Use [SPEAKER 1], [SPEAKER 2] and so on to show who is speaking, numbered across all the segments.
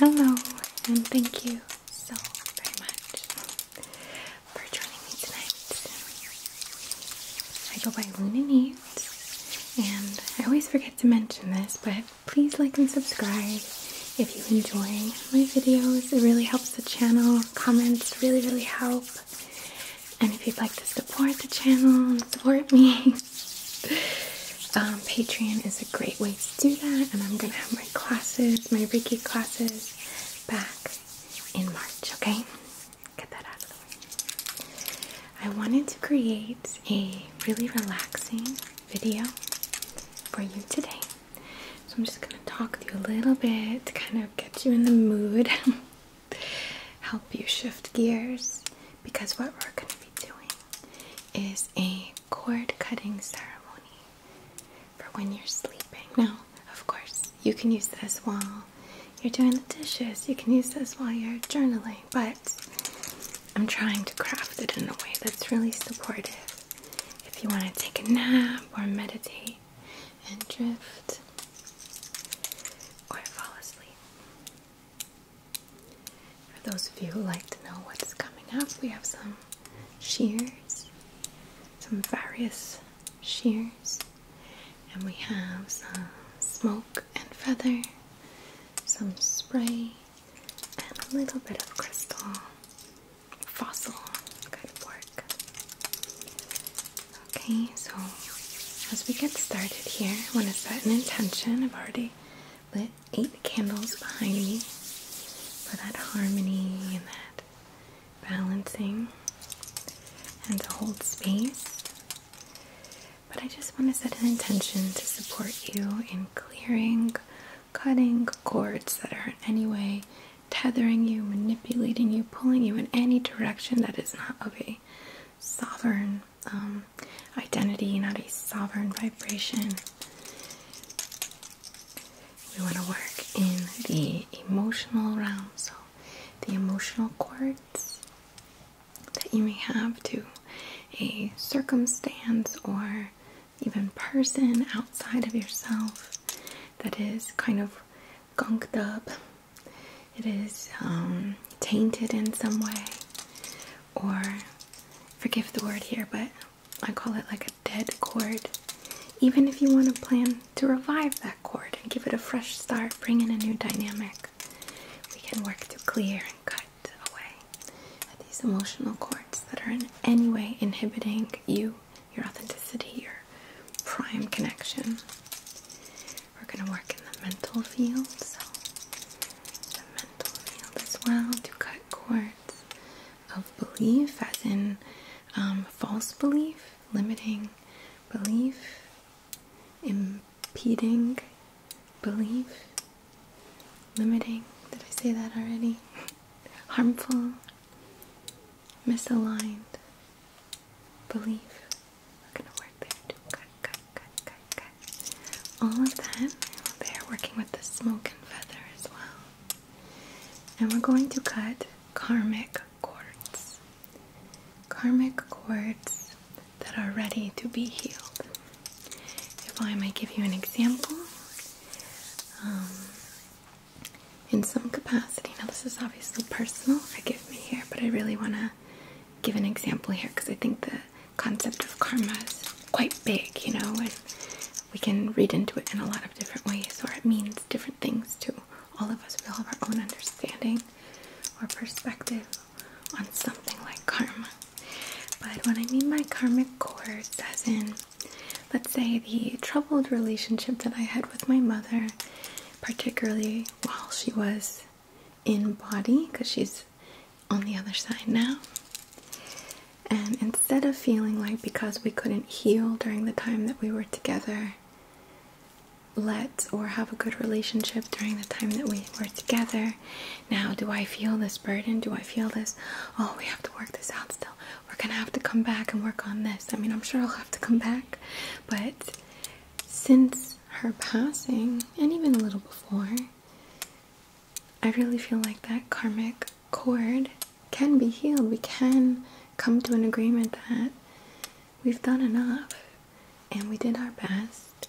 [SPEAKER 1] Hello, and thank you so very much for joining me tonight. I go by Luna Needs, and I always forget to mention this, but please like and subscribe if you enjoy my videos. It really helps the channel. Comments really, really help. And if you'd like to support the channel support me, um, Patreon is a great way to do that. And I'm going to have my classes, my Reiki classes, back in March, okay? Get that out of the way. I wanted to create a really relaxing video for you today. So I'm just going to talk to you a little bit to kind of get you in the mood. help you shift gears because what we're going to be doing is a cord cutting ceremony for when you're sleeping. Now, of course, you can use this while you're doing the dishes, you can use this while you're journaling, but I'm trying to craft it in a way that's really supportive. If you want to take a nap or meditate, and drift or fall asleep. For those of you who like to know what's coming up, we have some shears, some various shears, and we have some smoke and feather, some spray, and a little bit of crystal fossil kind work. Okay, so as we get started here, I want to set an intention. I've already lit eight candles behind me for that harmony and that balancing and to hold space. But I just want to set an intention to support you in clearing, cutting cords that are in any way tethering you, manipulating you, pulling you in any direction that is not of a sovereign um, identity, not a sovereign vibration. We want to work in the emotional realm, so the emotional cords that you may have to a circumstance or even person outside of yourself that is kind of gunked up it is um, tainted in some way, or forgive the word here, but I call it like a dead chord. Even if you want to plan to revive that chord and give it a fresh start, bring in a new dynamic, we can work to clear and cut away these emotional cords that are in any way inhibiting you your authenticity, your prime connection. We're going to work in the mental field, so the mental field as well to cut cords of belief, as in um, false belief, limiting belief, impeding belief, limiting. Did I say that already? Harmful misaligned Believe We're gonna work there too. Cut, cut, cut, cut, cut. All of that. They're working with the smoke and feather as well. And we're going to cut karmic cords. Karmic cords that are ready to be healed. If I may give you an example, um, in some capacity. Now, this is obviously personal, I give me here, but I really want to give an example here because I think the concept of karma is quite big, you know, and we can read into it in a lot of different ways, or it means different things to all of us. We all have our own understanding or perspective on something like karma. But when I mean my karmic cords, as in, let's say the troubled relationship that I had with my mother, particularly while she was in body because she's on the other side now. And instead of feeling like because we couldn't heal during the time that we were together, let or have a good relationship during the time that we were together, now do I feel this burden? Do I feel this? Oh, we have to work this out still. We're gonna have to come back and work on this. I mean, I'm sure I'll have to come back, but since her passing, and even a little before, I really feel like that karmic cord can be healed. We can come to an agreement that we've done enough and we did our best.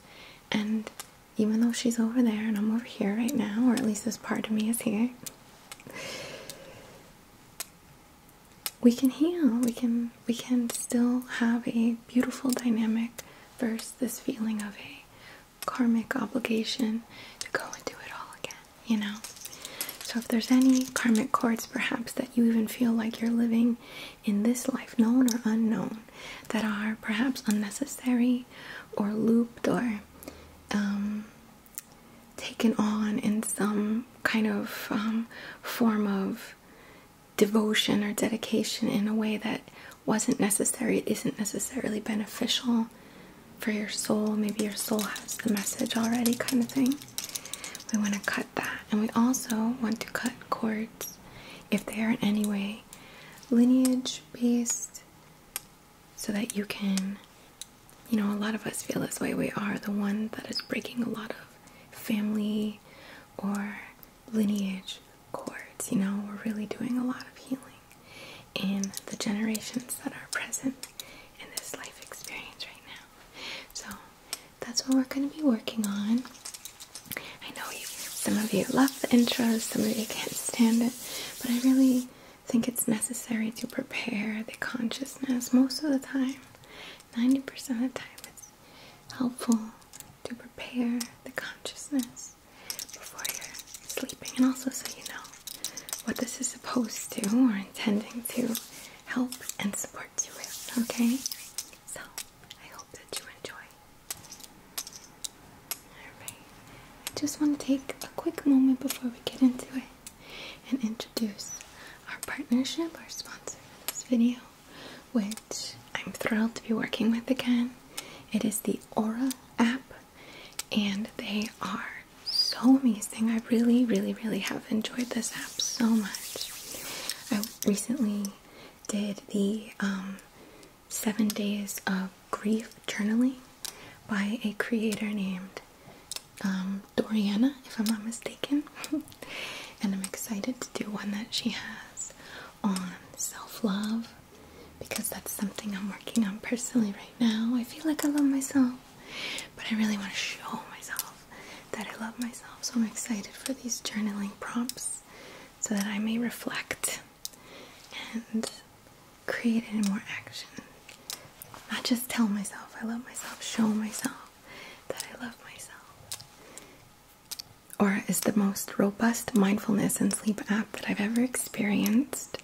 [SPEAKER 1] And even though she's over there and I'm over here right now, or at least this part of me is here, we can heal. We can we can still have a beautiful dynamic versus this feeling of a karmic obligation to go and do it all again, you know. So if there's any karmic cords perhaps that you even feel like you're living in this life, known or unknown, that are perhaps unnecessary or looped or um, taken on in some kind of um, form of devotion or dedication in a way that wasn't necessary, it isn't necessarily beneficial for your soul. Maybe your soul has the message already, kind of thing. We want to cut that. And we also want to cut cords if they are in any way lineage based so that you can. You know, a lot of us feel this way. We are the one that is breaking a lot of family or lineage cords. You know, we're really doing a lot of healing in the generations that are present in this life experience right now. So that's what we're going to be working on. I know some of you love the intros, some of you can't stand it, but I really think it's necessary to prepare the consciousness most of the time. 90% of the time it's helpful to prepare the consciousness before you're sleeping and also so you know what this is supposed to or intending to help and support you with, okay? So, I hope that you enjoy. Alright, I just want to take a quick moment before we get into it and introduce our partnership, our sponsor for this video, which I'm thrilled to be working with again. It is the Aura app, and they are so amazing. I really, really, really have enjoyed this app so much. I recently did the um, Seven Days of Grief Journaling by a creator named um, um, Doriana, if I'm not mistaken. and I'm excited to do one that she has on self love because that's something I'm working on personally right now. I feel like I love myself, but I really want to show myself that I love myself. So I'm excited for these journaling prompts so that I may reflect and create it more action. Not just tell myself I love myself, show myself that I love myself. Aura is the most robust mindfulness and sleep app that I've ever experienced.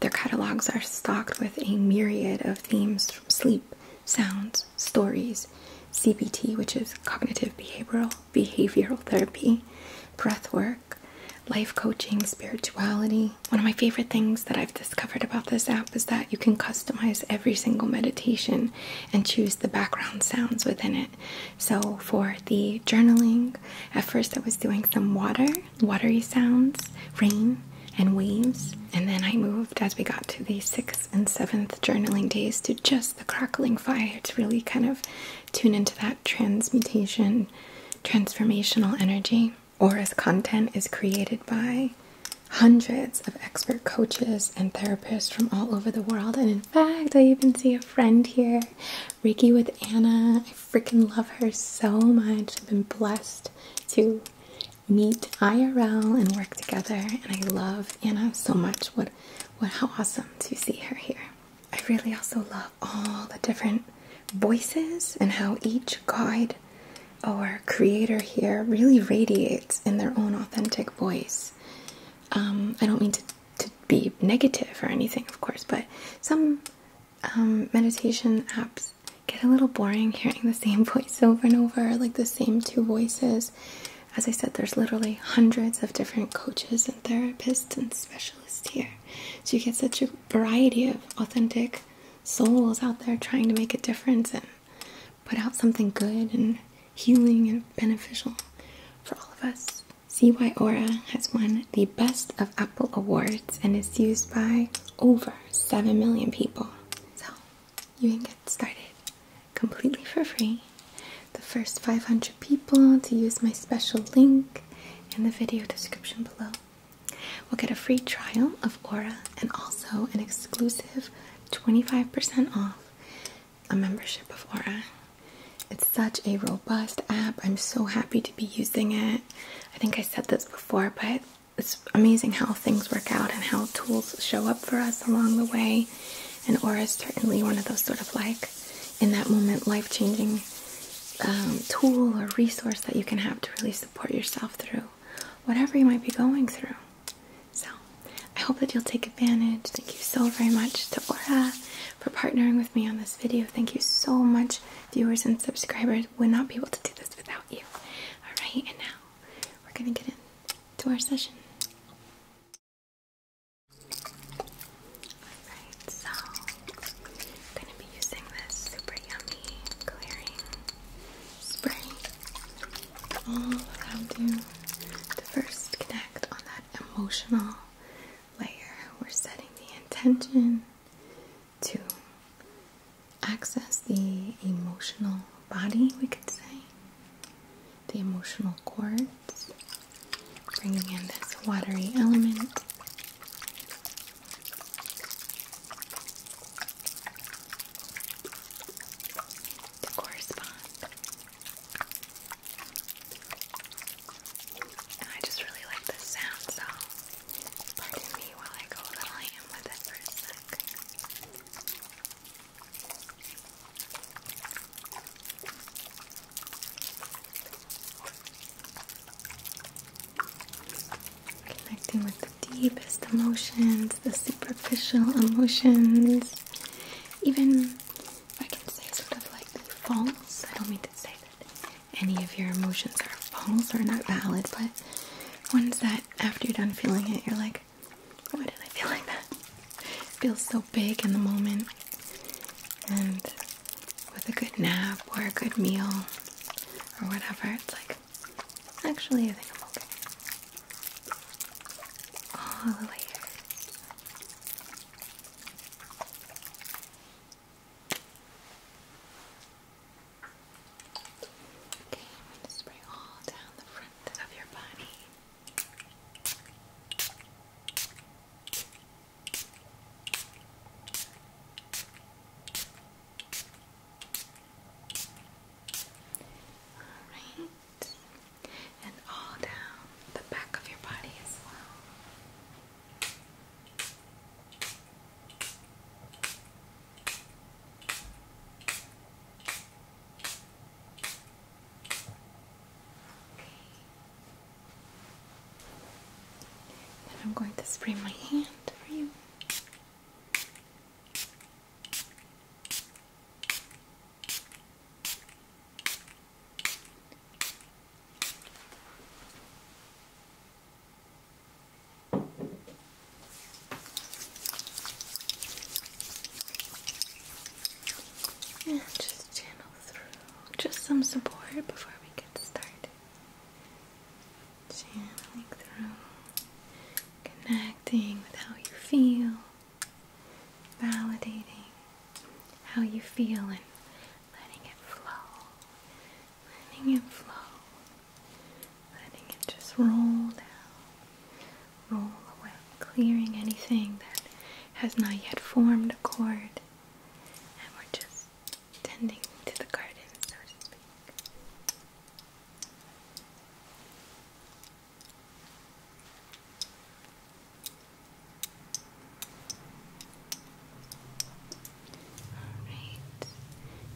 [SPEAKER 1] Their catalogs are stocked with a myriad of themes from sleep, sounds, stories, CBT, which is cognitive behavioral behavioral therapy, breath work, life coaching, spirituality. One of my favorite things that I've discovered about this app is that you can customize every single meditation and choose the background sounds within it. So for the journaling, at first I was doing some water, watery sounds, rain, and waves. And then I moved as we got to the sixth and seventh journaling days to just the crackling fire to really kind of tune into that transmutation, transformational energy. or as content is created by hundreds of expert coaches and therapists from all over the world. And in fact, I even see a friend here, Ricky with Anna. I freaking love her so much. I've been blessed to meet IRL and work together. And I love Anna so much. What, what, how awesome to see her here. I really also love all the different voices and how each guide or creator here really radiates in their own authentic voice. Um, I don't mean to, to be negative or anything, of course, but some um, meditation apps get a little boring hearing the same voice over and over, like the same two voices. As I said, there's literally hundreds of different coaches and therapists and specialists here. So you get such a variety of authentic souls out there trying to make a difference put out something good and healing and beneficial for all of us. CY Aura has won the Best of Apple Awards and is used by over 7 million people. So you can get started completely for free. The first 500 people to use my special link in the video description below will get a free trial of Aura and also an exclusive 25% off a membership of Aura. It's such a robust app. I'm so happy to be using it. I think I said this before, but it's amazing how things work out and how tools show up for us along the way. And Aura is certainly one of those sort of like, in that moment, life changing um, tool or resource that you can have to really support yourself through whatever you might be going through. So I hope that you'll take advantage. Thank you so very much to Aura for partnering with me on this video. Thank you so much, viewers and subscribers. Would not be able to do this without you. Alright, and now we're gonna get into our session. Alright, so gonna be using this super yummy clearing spray all around you to first connect on that emotional layer. We're setting the intention to access the emotional body, we could say, the emotional core, bringing in this watery element to correspond. I just really like this sound, so pardon me while I go a little ham with it for a sec. Connecting with the deepest emotions, the superficial emotions even if I can say sort of like false. I don't mean to say that any of your emotions are false or not valid, but ones that after you're done feeling it, you're like, why did I feel like that? feels so big in the moment. And with a good nap or a good meal or whatever, it's like, actually, I think I'm okay all the way here. Okay, I'm going to spray all down the front of your body. All right and all down the back of your body as well. Then I'm going to spray my hand for you just channel through. Just some support before we get started. Channeling through, connecting with how you feel validating how you feel and letting it flow, letting it flow, letting it just roll down, roll away, clearing anything that has not yet formed a chord, and we're just tending to the garden, so to speak. Alright,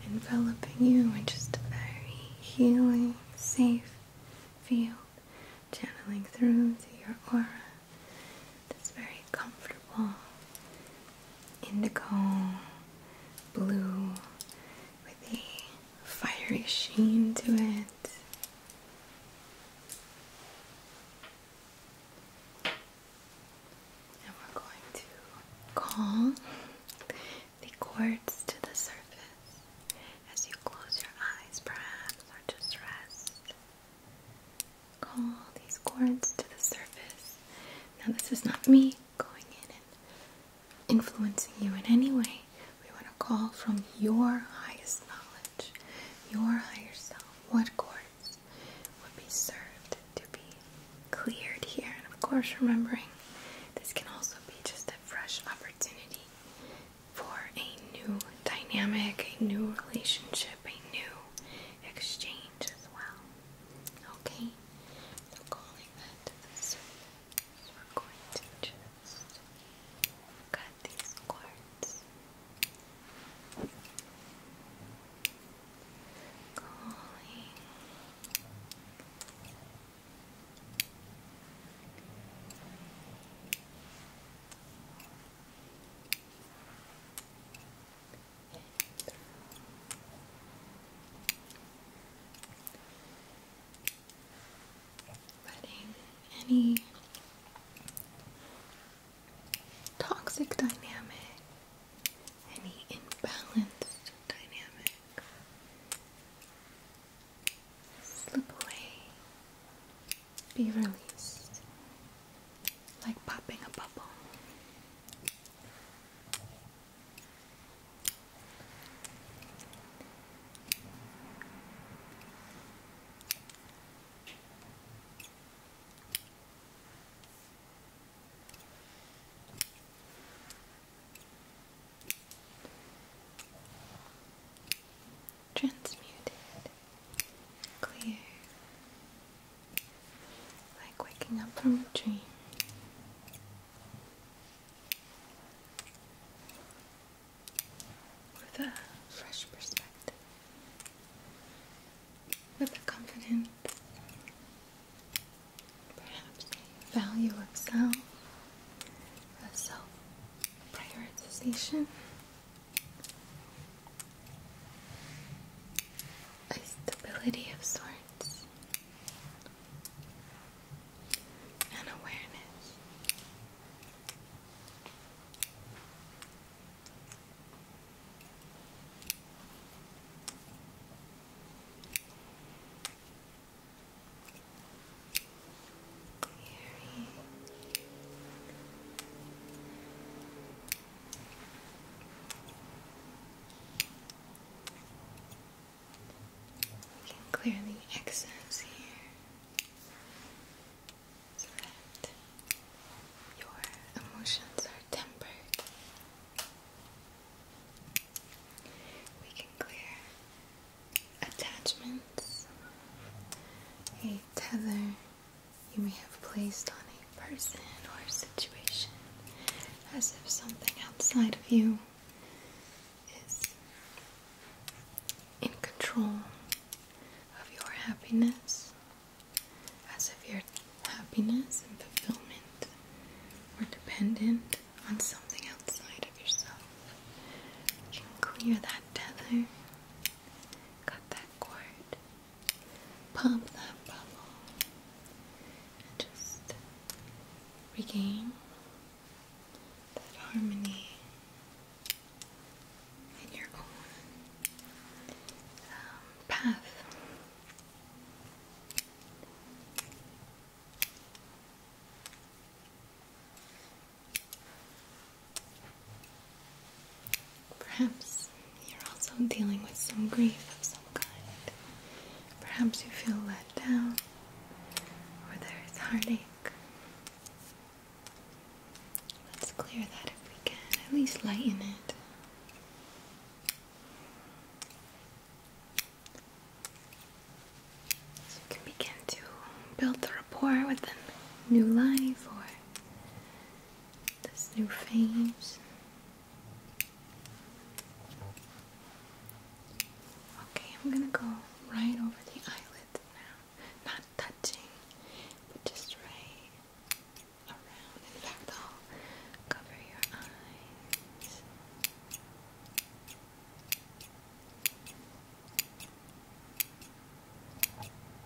[SPEAKER 1] enveloping you in just a very healing, safe field, channeling through your aura that's very comfortable, indigo, blue, with a fiery sheen to it. And we're going to call the quartz to the surface as you close your eyes, perhaps, or just rest. Call these quartz to the surface. Now, this is not me going in influencing you in any way, we want to call from your highest knowledge, your higher self. What chords would be served to be cleared here? And of course, remembering this can also be just a fresh opportunity for a new dynamic, a new relationship, a new exchange as well. Okay, so calling that to the surface. So we're going to just cut these cords. Calling any toxic dynamic, any imbalanced dynamic slip away, be released like popping a bubble. Transmuted, clear, like waking up from a dream with a fresh perspective, with a confident, value of self, a self prioritization. A stability of sorts, and awareness. Clearing. We can clear the excess here so that your emotions are tempered. We can clear attachments, a tether you may have placed on a person or situation as if something outside of you is in control of your happiness, as if your happiness and fulfillment were dependent on something outside of yourself. You can clear that tether, cut that cord, pump that bubble, and just regain harmony in your own um, path. Perhaps you're also dealing with some grief of some kind. Perhaps you feel let down, or there's heartache, Let's clear that if we can, at least lighten it. So you can begin to build the rapport with the new life or this new phase. Okay, I'm gonna go right over the eyelid now not touching, but just right around. In fact, will cover your eyes.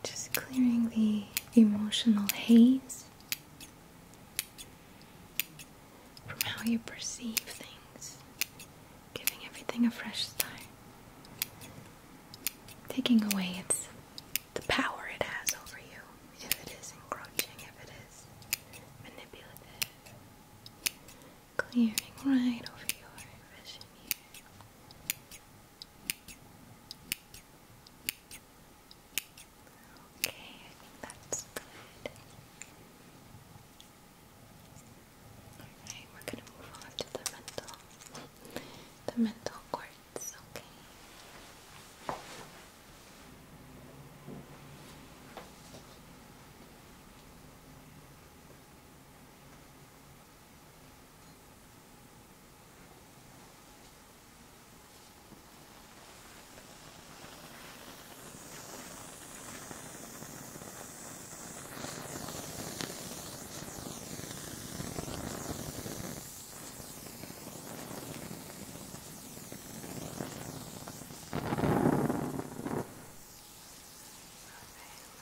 [SPEAKER 1] Just clearing the emotional haze from how you perceive things giving everything a fresh start, taking away its the power it has over you if it is encroaching, if it is manipulating, clearing right over your vision here. Okay, I think that's good. Alright, we're gonna move on to the mental the mental quartz, Okay,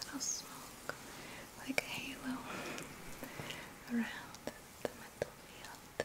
[SPEAKER 1] little smoke like a halo around the metal field.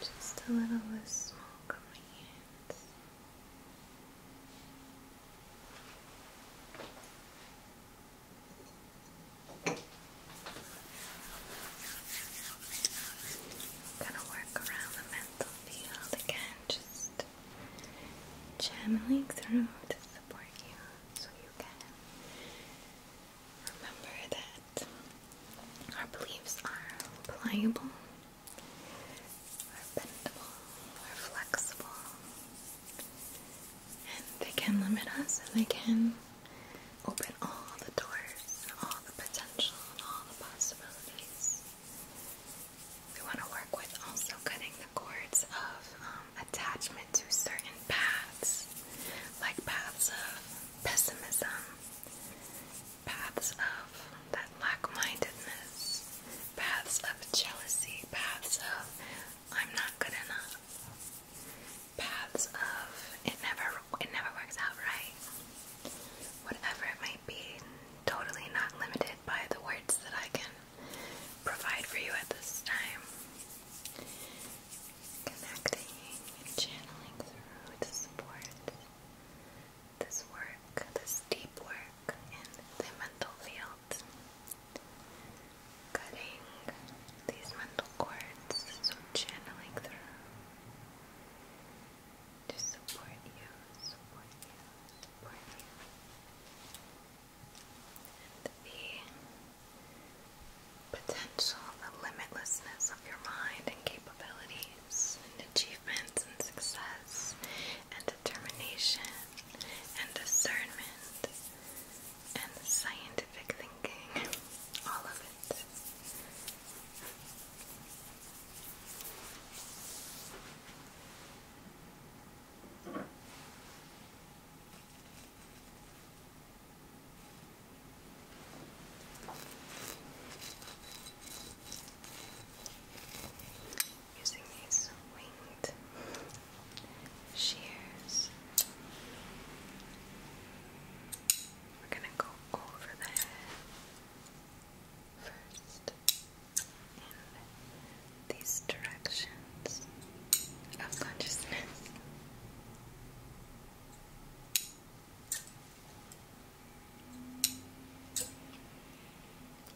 [SPEAKER 1] Just a little less smoke on my hands. Gonna work around the mental field again, just channeling through to support you so you can remember that our beliefs are pliable are bendable, are flexible, and they can limit us and they can open all the doors, all the potential, all the possibilities. We want to work with also cutting the cords of um, attachment to certain paths, like paths of pessimism, paths of that lack mindedness, paths of jealousy, paths of I'm not good enough, paths of it never it never works out right. Whatever it might be, totally not limited by the words that I can provide for you at this time. Connecting channeling through the support this work, this deep work in the mental field. Cutting these mental cords, so channeling through to support you, support you, support you. And the potential, the limitlessness of your mind and capabilities and achievements and success and determination and discernment and scientific thinking. All of it using these winged shears. We're going to go over the head first in these directions of consciousness.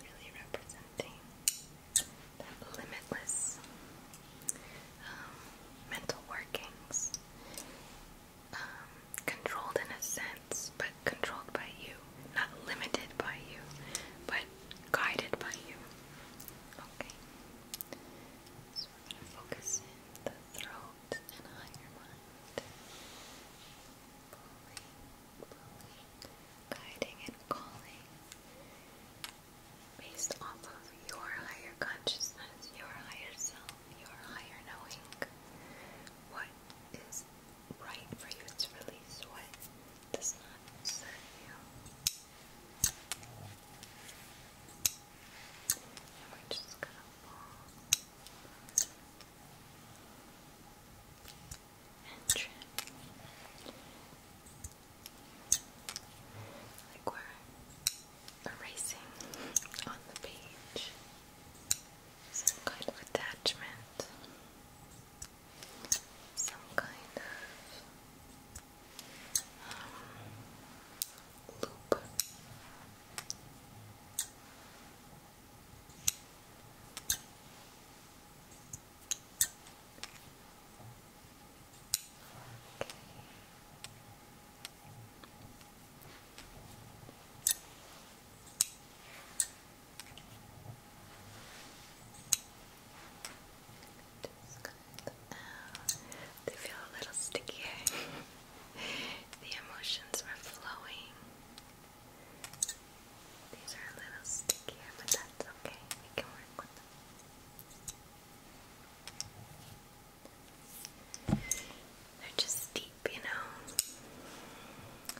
[SPEAKER 1] Really represent connecting limitless um, mental workings, um, controlled in a sense, but controlled by you, not limited by you, but guided by you. Okay. So we're going to focus in the throat and higher mind pulling, guiding and calling based off of your higher consciousness, your higher self, your higher knowing. What is right for you to release, what does not serve you. And we're just gonna fall and trim. Like we're erasing on the page some kind of attachment, some kind of um, loop. Just going They feel a little stickier. the emotions are flowing. These are a little stickier, but that's okay. We can work with them. They're just deep, you know.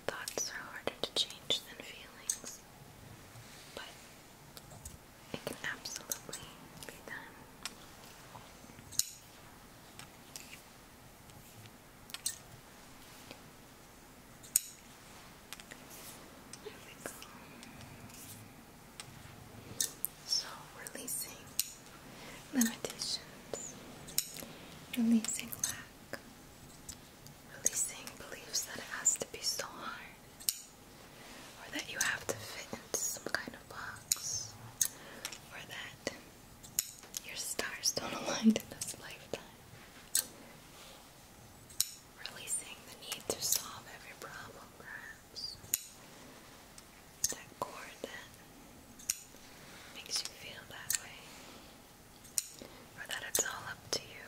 [SPEAKER 1] Thoughts are harder to change than feelings, but it can absolutely be done. So, releasing limitations, releasing lack, releasing beliefs that it has to be so hard, or that you have to fit into some kind of box, or that your stars don't align in this lifetime. Releasing the need to solve every problem, perhaps. That chord that makes you feel that way, or that it's all up to you.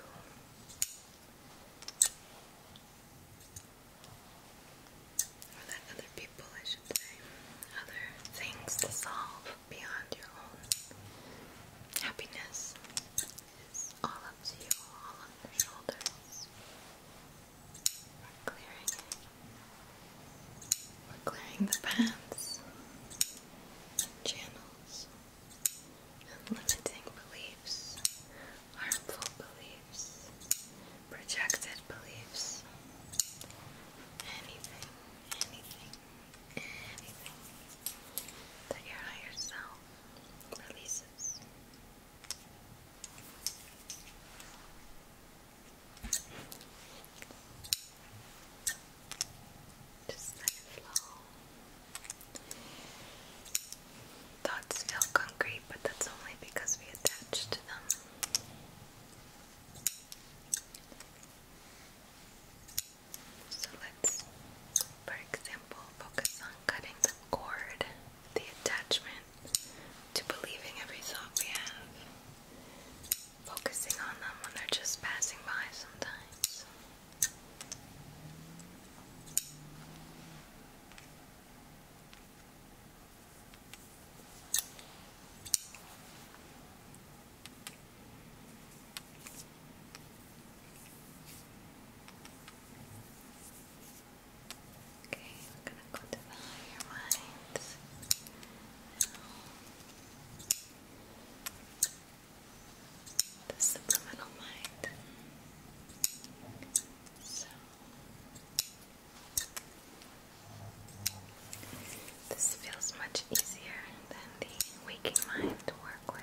[SPEAKER 1] Or that other people, I should say, other things to solve beyond your own happiness is all up to you, all on your shoulders. We're clearing it. We're clearing the paths, channels, limiting beliefs, harmful beliefs, projected beliefs, anything, anything, anything you your higher self releases. Just let flow. Thoughts feel concrete, but that's only because we attach to them. So let's, for example, focus on cutting the cord, the attachment to believing every thought we have. Focusing on them when they're just passing by sometimes. Okay, we're gonna go to your mind The subliminal mind. So this feels much easier than the waking mind to work with.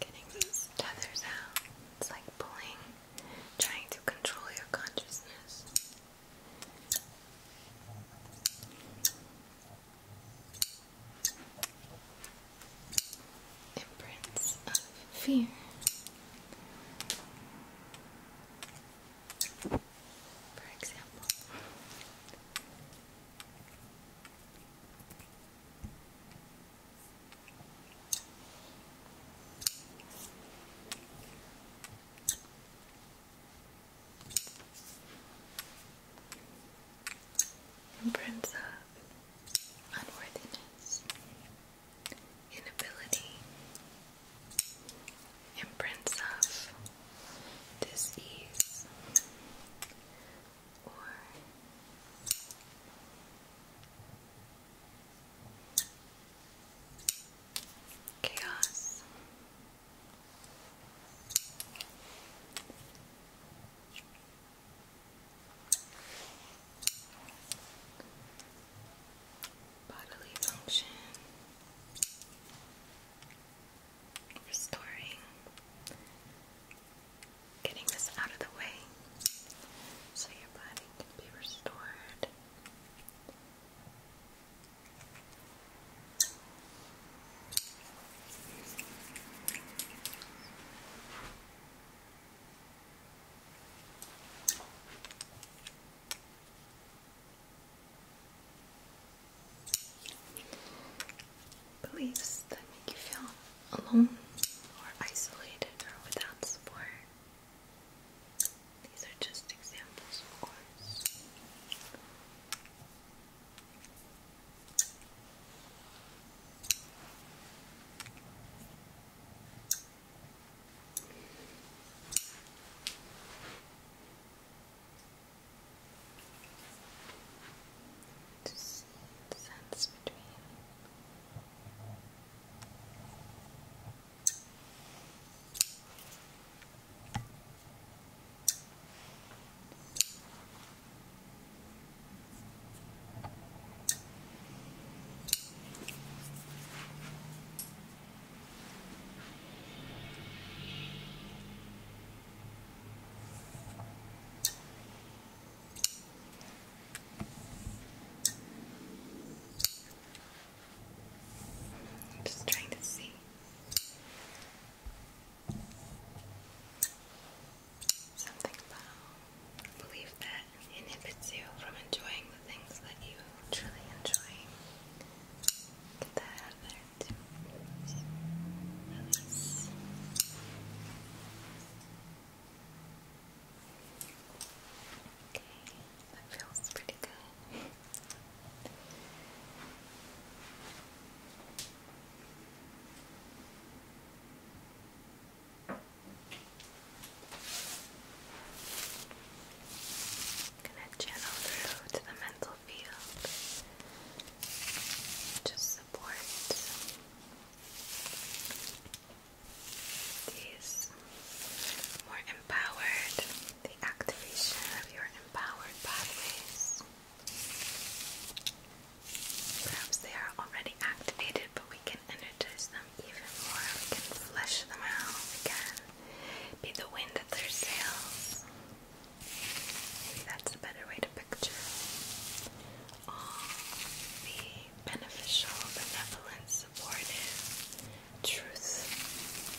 [SPEAKER 1] Getting these tethers out. It's like pulling, trying to control your consciousness. Imprints of fear. For example, Imprints of unworthiness, inability, imprints of disease, chaos. Bodily function, restoring, getting this out of the way so your body can be restored. Okay beliefs that make you feel alone or isolated or without support. These are just examples, of course to see sense between. I'm just trying to see. Something about belief that inhibits you from enjoying the things that you truly enjoy. Get that out there good. Release. Okay, that feels pretty good. gonna channel through to the mental field just so these more empowered, the activation of your empowered pathways. Perhaps they are already activated, but we can energize them even more. We can flesh them out. We can be the wind at their sails. Maybe that's a better way to picture all the beneficial, benevolence, supportive truth,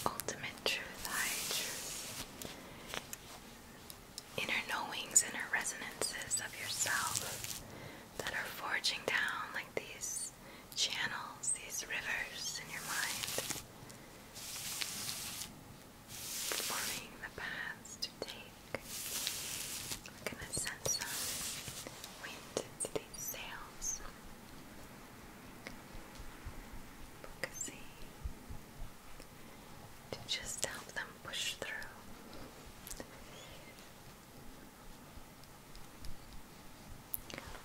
[SPEAKER 1] ultimate truth, high truth, inner knowings, inner resonances of yourself that are forging down like these channels, these rivers in your mind forming the paths to take. We're gonna send some wind into these sails. Focusing to just help them push through.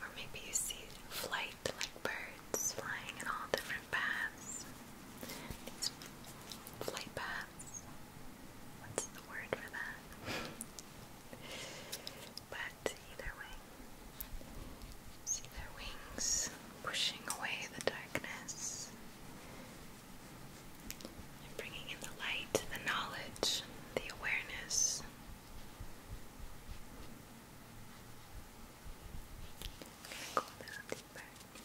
[SPEAKER 1] Or maybe you see flight like birds flying in all different paths. These flight paths. What's the word for that? but either way, see their wings pushing away the darkness and bringing in the light, the knowledge, the awareness. going a little deeper.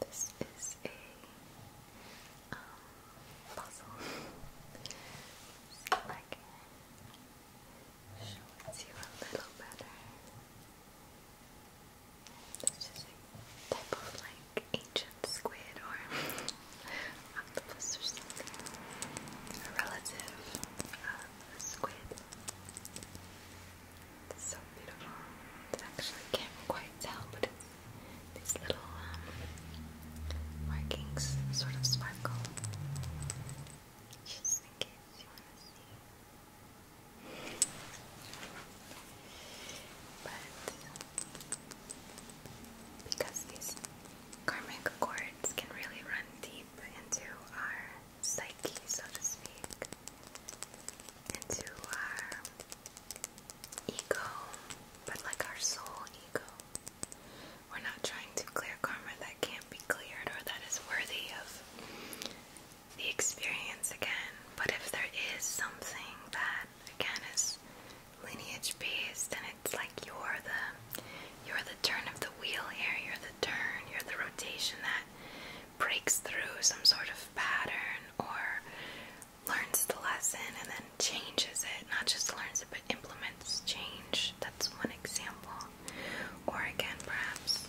[SPEAKER 1] This is a um, puzzle. See if you a little better. This is a type of like ancient squid or octopus or something. A relative of squid. It's so beautiful. It's actually can't quite tell, but it's these little um, markings sort of sparkle. Just in case you want to see. But because these karmic cords can really run deep into our psyche, so to speak, into our ego, but like our soul ego. We're not trying to clear karma that can't be cleared or that is worthy of the experience again. But if there is something that again is lineage based and it's like you're the you're the turn of the wheel here, you're the turn, you're the rotation that breaks through some sort of pattern or learns the lesson and then changes it. Not just learns it, but implements change. That's one example. Or again, perhaps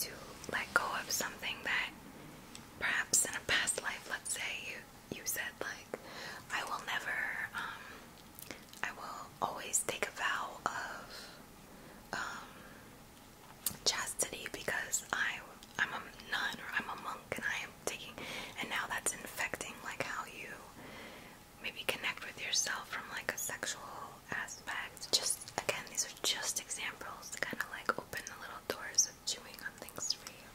[SPEAKER 1] to let go of something that perhaps in a past life, let's say you, you said like, I will never, um, I will always take a vow of, um, chastity because I I'm a nun or I'm a monk and I am taking and now that's infecting like how you maybe connect with yourself from like a sexual aspect. Just again, these are just examples to kind of like open the little doors of chewing on things for you.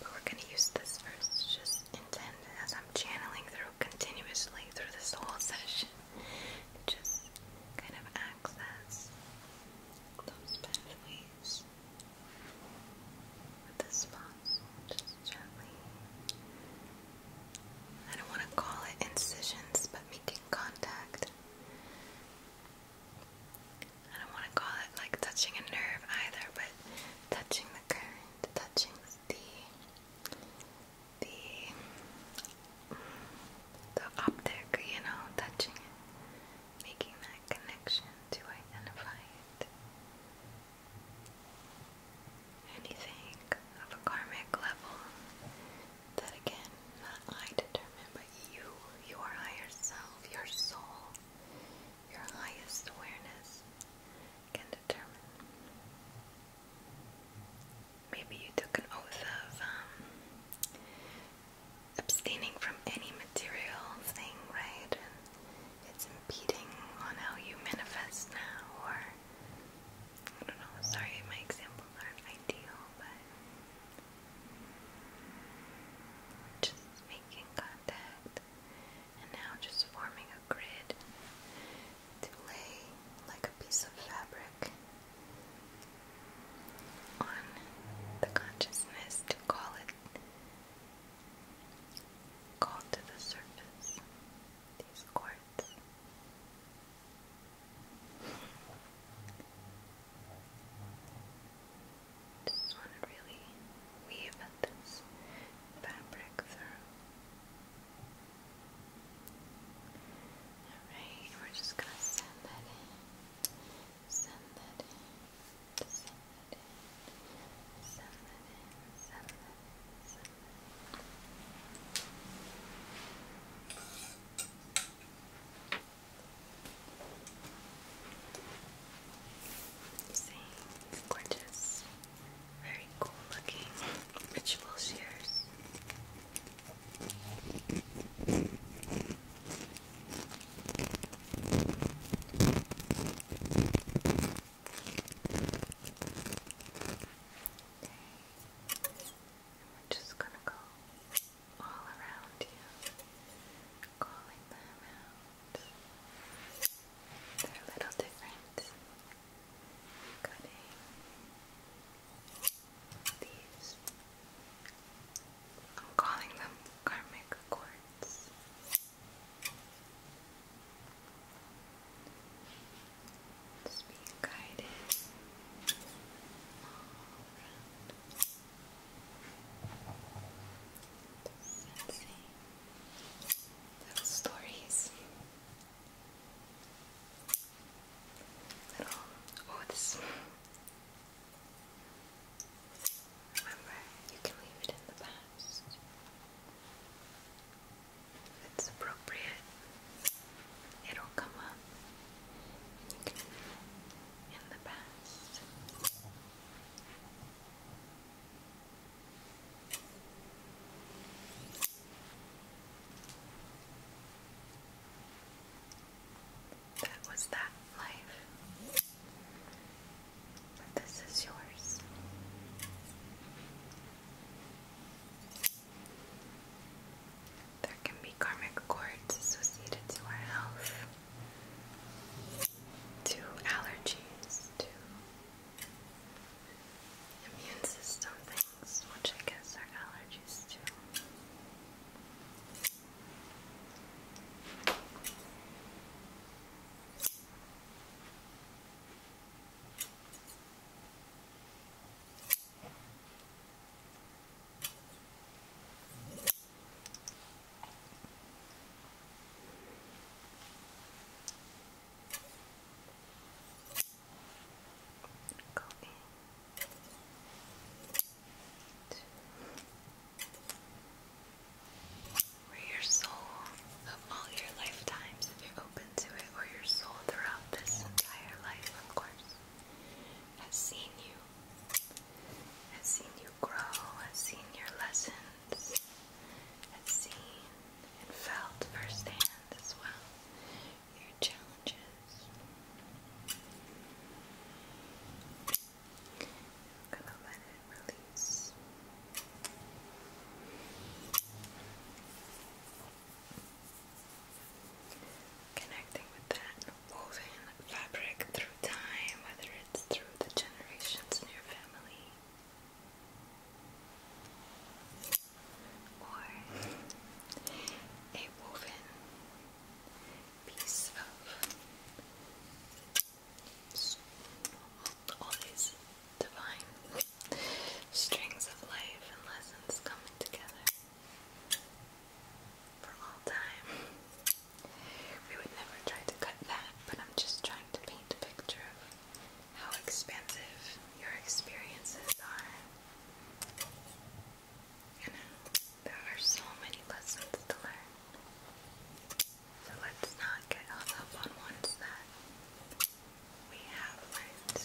[SPEAKER 1] But we're gonna use this first. Just intend as I'm channeling through continuously through this whole session. Just kind of access those pathways with the spots, just gently. I don't want to call it incisions, but making contact. I don't want to call it like touching a nerve either, but touching the current, touching the the the optic, you know, touching it, making that connection to identify it. Anything of a karmic level that again, I determine, but you, your higher self, your soul, your highest awareness can determine maybe you took an oath of um, abstaining from any material thing, right? it's impeding on how you manifest now, or I don't know. Sorry, my examples aren't ideal, but just making contact and now just forming a grid to lay like piece of fabric on the consciousness to call it call to the surface these cords. Just want to really weave this fabric through. Alright, we're just gonna send that in. Send that in. Send that in. Send that in. Send that in. Send that in. You gorgeous. Very cool looking ritual shears. We're just gonna go all around you, calling them out. They're a little different. Cutting. These. I'm calling them karmic cords. Just being guided all around. Sensing little stories little oh, Remember, you can leave it in the past if it's appropriate. It'll come up, and you can leave it in the past. That was that life. But this is yours. There can be karmic cords associated to our health, to allergies, to immune system things which I guess are allergies too. Go in. your soul of all your lifetimes, if you're open to it, or your soul throughout this entire life, of course, has seen you, has seen you grow, has seen your lessons, has seen and felt firsthand as well your challenges. I'm gonna let it release. Connecting with that woven fabric through time, whether it's through the generations in your family or a woven piece all these divine strings of life and lessons coming together for all time. We would never try to cut that, but I'm just trying to paint a picture of how expansive your experiences are there are so many lessons to learn. So let's not get hung up on ones that we have learned.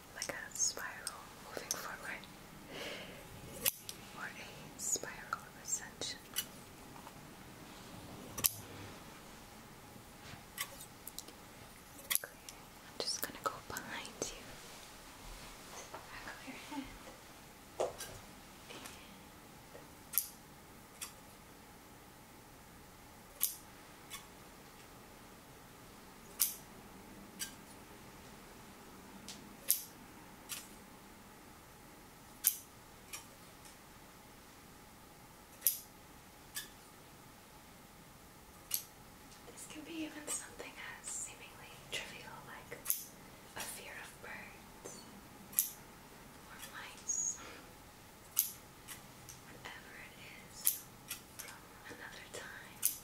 [SPEAKER 1] like a spiral moving forward or a spiral of ascension. I'm just gonna go behind you. Back of your head. This can be even something as seemingly trivial like a fear of birds or mice, whatever it is from another time.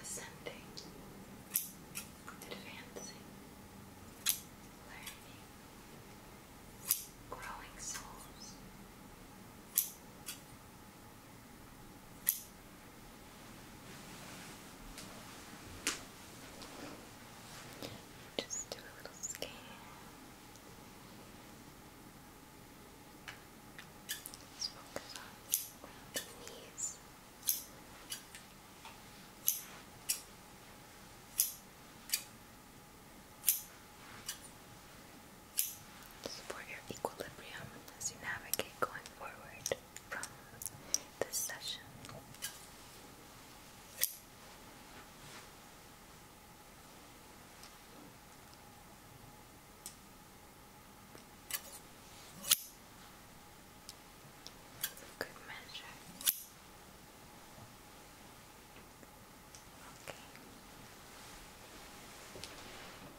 [SPEAKER 1] ascending, advancing, learning, growing souls. Just do a little scan. focus on the knees. Support your equilibrium as you navigate going forward from this session. That's a good measure. Okay.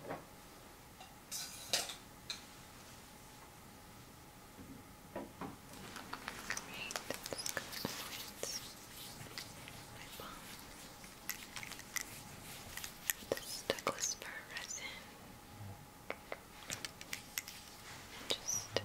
[SPEAKER 1] Great, that's good. My palm. This Douglas fir resin. Just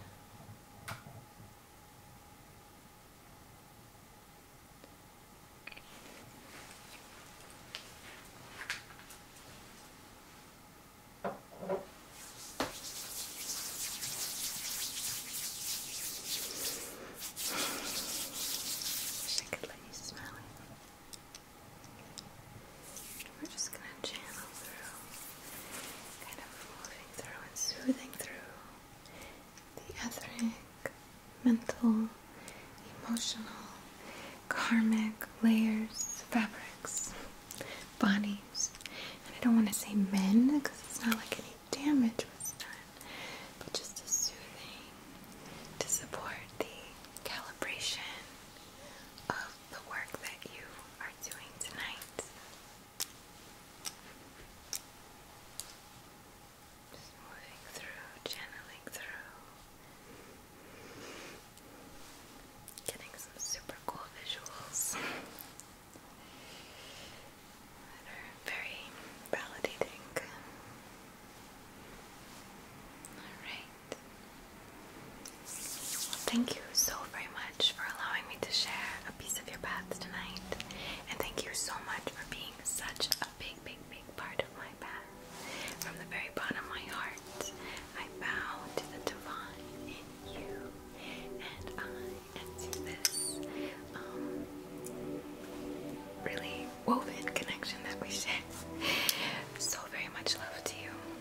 [SPEAKER 1] I could let you smell it. We're just going to channel through, kind of moving through and soothing through the etheric, mental, emotional, karmic layers, fabrics, bodies. And I don't want to say men because it's not like any damage was done, but just a soothing to support the calibration of the work that you are doing tonight. Just moving through, channeling through, getting some super cool visuals that are very validating. Alright thank you so very much for allowing me to share a piece of your path tonight. And thank you so much for being such a big, big, big part of my path. From the very bottom of my heart, I bow to the divine in you. And I enter this um, really woven connection that we share. So very much love to you.